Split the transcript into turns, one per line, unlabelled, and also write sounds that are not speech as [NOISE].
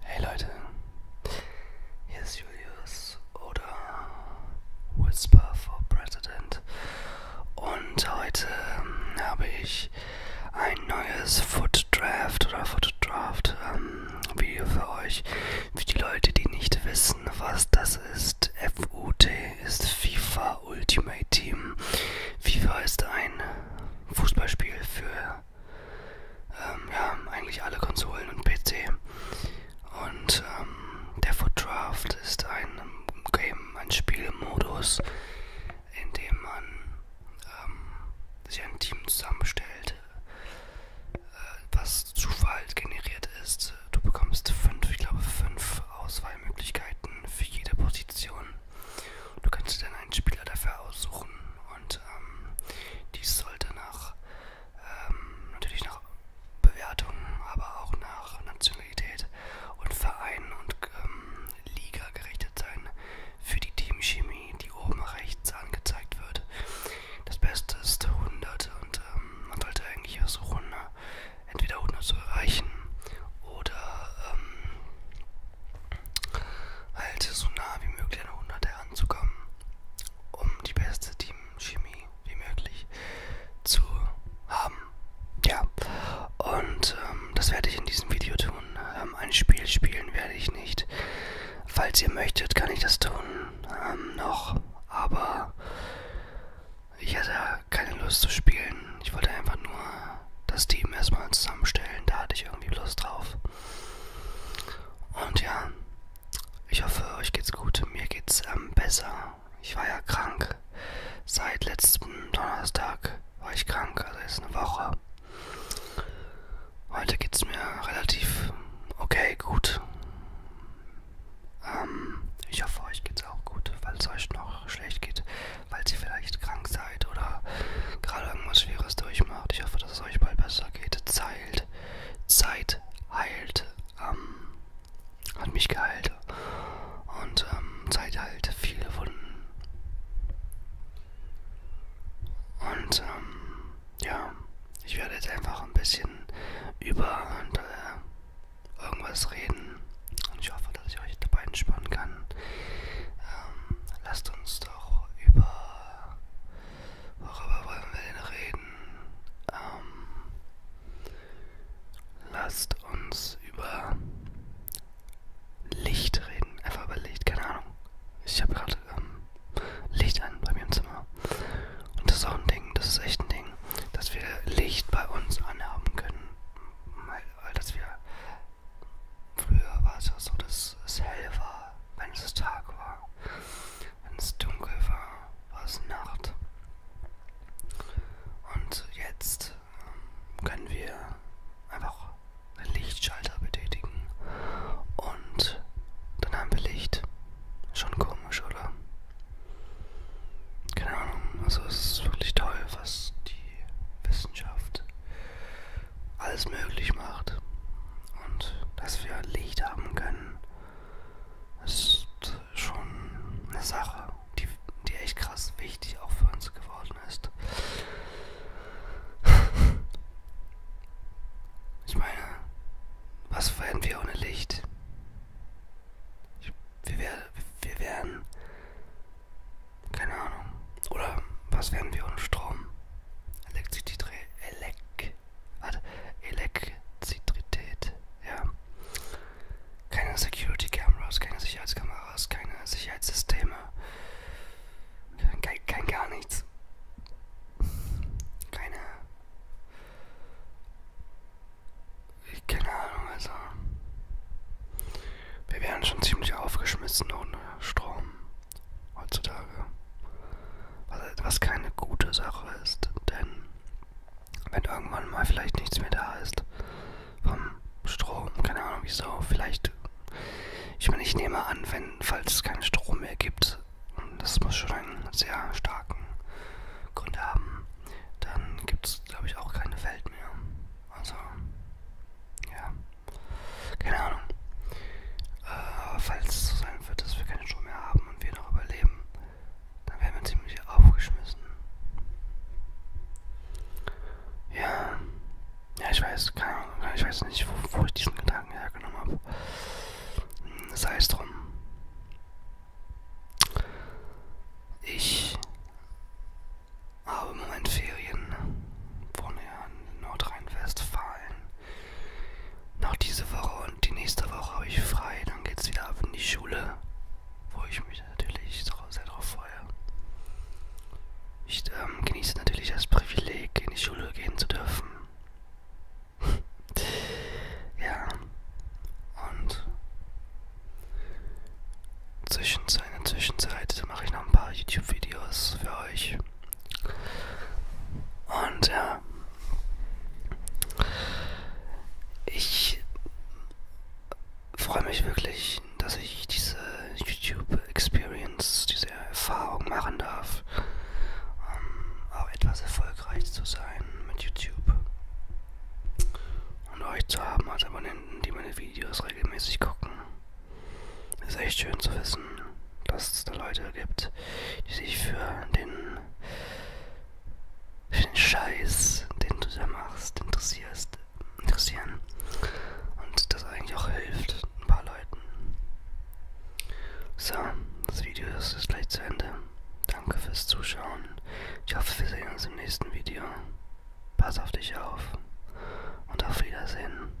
Hey Leute, hier ist Julius oder Whisper for President und heute ähm, habe ich ein neues Foot Draft oder Foot Draft ähm, Video für euch. Für die Leute, die nicht wissen, was das ist, FUT ist FIFA Ultimate Team. FIFA ist ein Fußballspiel für ähm, ja, eigentlich alle Konsolen und PC. Und ähm, der Foot Draft ist ein ähm, Game, ein Spielmodus, in dem man ähm, sich ein Team zusammenstellt, äh, was Zufall generiert ist. Du bekommst fünf, ich glaube fünf Auswahlmöglichkeiten für jede Position. Du kannst dir dann einen Spieler dafür aussuchen und ähm, dies sollte nach ähm, natürlich nach Bewertung, aber auch nach Nationalität und Verein und ähm, Liga gerichtet sein für die Teamchemie, die oben rechts angezeigt wird. Das Beste ist 100 und ähm, man sollte eigentlich versuchen, entweder ohne zu erreichen oder ähm, halt so nah wie möglich an 100 halt heranzukommen, um die beste Teamchemie wie möglich zu haben. Ja, und ähm, das werde ich in diesem Video tun. Ähm, ein Spiel spielen werde ich nicht. Falls ihr möchtet, kann ich das tun. Ähm, noch. Aber ich hatte keine Lust zu spielen. Ich wollte einfach nur das Team erstmal zusammenstellen. Da hatte ich irgendwie Lust drauf. Und ja, ich hoffe, euch geht's gut. Mir geht's ähm, besser. Ich war ja krank. Seit letztem Donnerstag war ich krank, also jetzt eine Woche. Heute geht's mir relativ okay, gut. Ähm, ich hoffe, euch geht's auch gut, falls euch noch schlecht geht, weil ihr vielleicht krank seid oder gerade irgendwas Schweres durchmacht. Ich hoffe, dass es euch bald besser geht. Zeit, Zeit heilt. Ähm, hat mich geheilt. Und ähm, Zeit heilt viele Wunden. Und ähm, ja, ich werde jetzt einfach ein bisschen über und, äh, irgendwas reden. Und ich hoffe, dass ich euch dabei entspannen kann. Ähm, lasst uns doch über. Worüber wollen wir denn reden? Ähm, lasst uns über Licht reden. Einfach über Licht, keine Ahnung. Ich habe gerade ähm, Licht an bei mir im Zimmer. Und das ist auch ein Ding, das ist echt ein Ding, dass wir Licht bei uns anhaben können. Weil, weil dass wir. Früher war es ja so, dass es hell war, wenn es Tag war. Wenn es dunkel war, war es Nacht. Und jetzt ähm, können wir einfach einen Lichtschalter betätigen. Und dann haben wir Licht. Schon komisch, oder? Keine Ahnung, also es ist wirklich toll, was die Wissenschaft alles möglich macht. Und dass wir Licht haben können, ist schon eine Sache, die, die echt krass wichtig auch für uns geworden ist. Ich meine, was wären wir ohne Licht? Ich, wir, wär, wir wären. Keine Ahnung. Oder was wären wir ohne Strom? Elektrizität. Elek. Warte. Elektrizität. Ja. Keine Security Cameras, keine Sicherheitskameras, keine Sicherheitssysteme. Kein, kein gar nichts. Keine keine Ahnung, also. Wir wären schon ziemlich aufgeschmissen ohne Strom heutzutage. Was keine gute Sache ist, denn wenn irgendwann mal vielleicht nichts mehr da ist vom Strom, keine Ahnung wieso, vielleicht, ich meine, ich nehme an, wenn, falls es keinen Strom mehr gibt, und das muss schon einen sehr starken Grund haben, dann gibt es, glaube ich, auch keine Welt mehr. Also, ja, keine Ahnung. Äh, falls es so sein wird, dass wir keine Show mehr haben und wir noch überleben, dann werden wir ziemlich aufgeschmissen. Ja, ja, ich weiß, keine Ahnung, ich weiß nicht, wo, wo ich diesen Gedanken hergenommen habe. Hm, sei es drum. Ich habe im Moment Ferien, wohne ja in Nordrhein-Westfalen. Noch diese Woche und die nächste Woche habe ich frei, dann geht's wieder ab in die Schule, wo ich mich natürlich sehr darauf freue. Ich ähm, genieße natürlich das Privileg, in die Schule gehen zu dürfen. [LAUGHS] ja. Und Zwischenzeit, in der Zwischenzeit mache ich noch ein paar YouTube-Videos für euch. Und ja. Ich freue mich wirklich, dass ich diese YouTube-Experience, diese der Erfahrung machen darf, um, ähm, auch etwas erfolgreich zu sein mit YouTube. Und euch zu haben als Abonnenten, die meine Videos regelmäßig gucken. Ist echt schön zu wissen, dass es da Leute gibt, die sich für den, für den Scheiß, den du da machst, interessierst interessieren und das eigentlich auch hilft ein paar Leuten. So, das Video ist, ist gleich zu Ende. Danke fürs Zuschauen. Ich hoffe, wir sehen uns im nächsten Video. Pass auf dich auf und auf Wiedersehen.